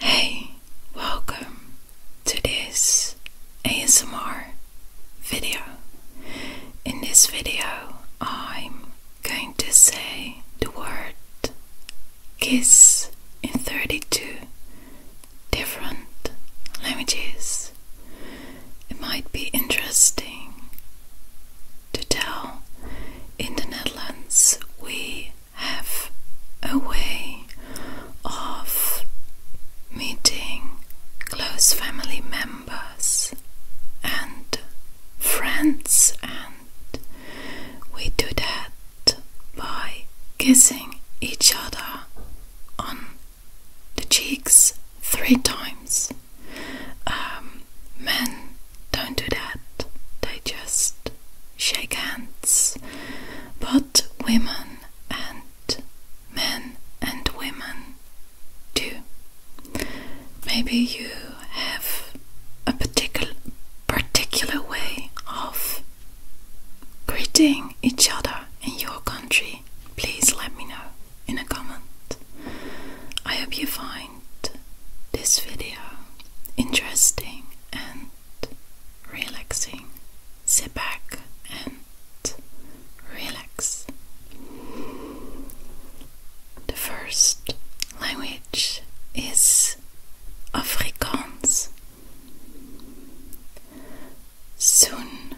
Hey, welcome to this ASMR video. In this video, I'm going to say the word kiss in 32 different languages. It might be interesting to tell. In the Netherlands, we have a way of meeting close family members and friends, and we do that by kissing each other on the cheeks three times. Um, men don't do that, they just shake hands, but women and men and women do. Maybe you have a particular particular way of greeting each other in your country. Please let me know in a comment. I hope you are fine this video interesting and relaxing, sit back and relax. The first language is Afrikaans. Soon,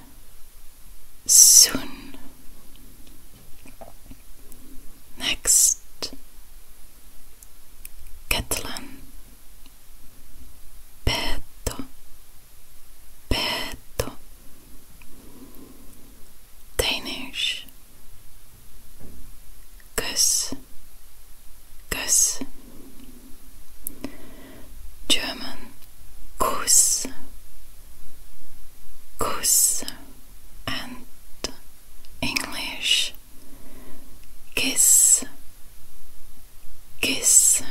soon, Next, Catalan, petto, petto, Danish, kus, kus, German, kus, goose and English kiss kiss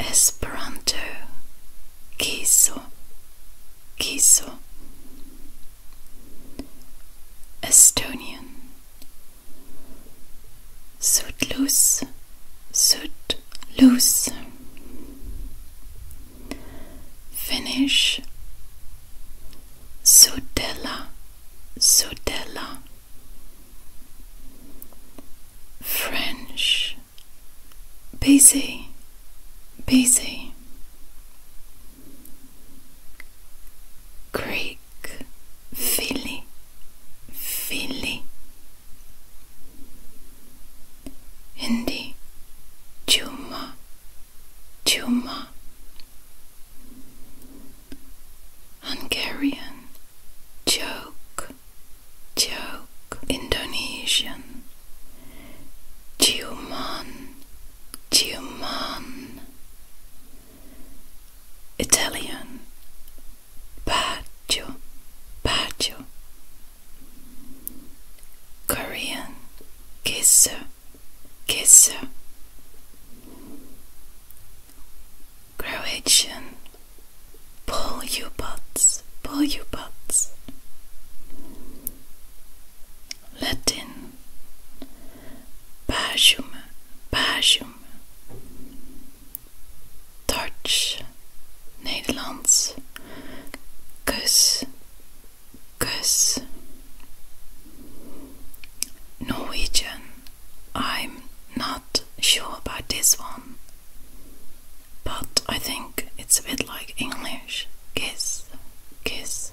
Esperanto kiso kiso Estonian Sudlus Sud loose. Finish. Sudella Sudella French Busy Busy Greek Philly Philly Hindi Juma, Chuma Hungarian Joke Joke Indonesian Juman, Ciuman Italian Patio, patio. Korean, kisser, kisser. Croatian, pull you butts, pull you butts. Latin, pasum, pasum. Dutch, Nederlands, kus, kus. Norwegian, I'm not sure about this one, but I think it's a bit like English. Kiss, kiss.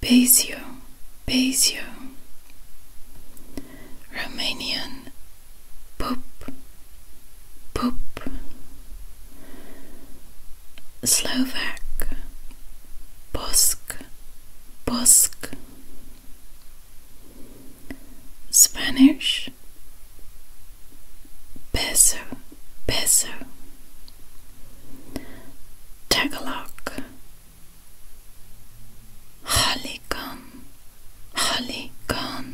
Beziu, Beziu. Romanian, Pop, Pop. Slovak, Bosk, Bosk. Spanish, Peso, Peso. Tagalog Halikan Halikan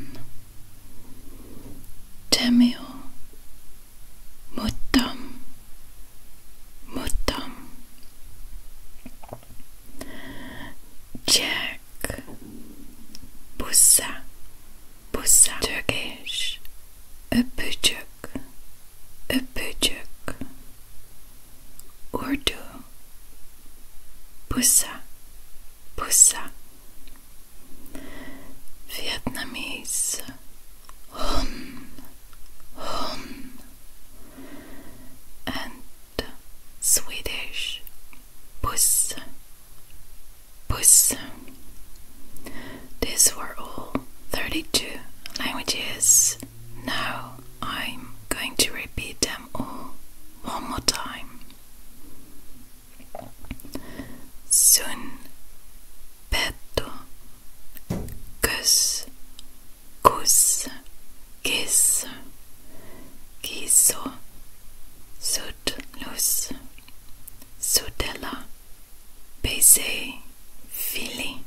Tamil Mutam, Mutam, Jack Busa busa Turkish a öpücük Urdu bussa, bussa, Vietnamese hon hon and Swedish buss Puss. These were all 32 languages. Now I'm going to repeat them all one more time. Sun, petto, kus, kus, kiss, kiso, sudlus, sudela baiser, filly.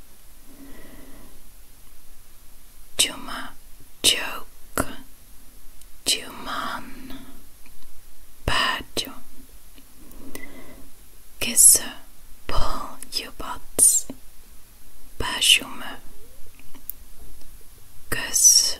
Juma, joke, Juman, badjo. Kiss, pull, you butts, bashume. Kuss,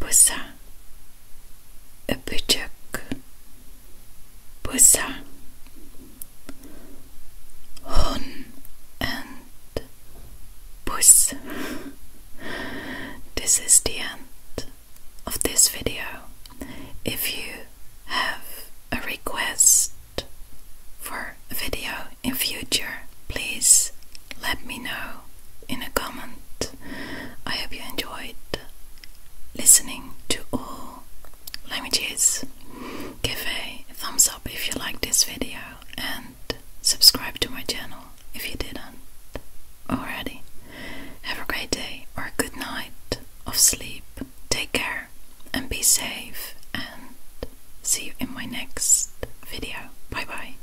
pusa öpücük pusa hon and puss this is the end of this video if you have a request for a video in future please let me know in a comment. I hope you enjoyed listening to all languages. Give a thumbs up if you liked this video and subscribe to my channel if you didn't already. Have a great day or a good night of sleep. Take care and be safe and see you in my next video. Bye bye.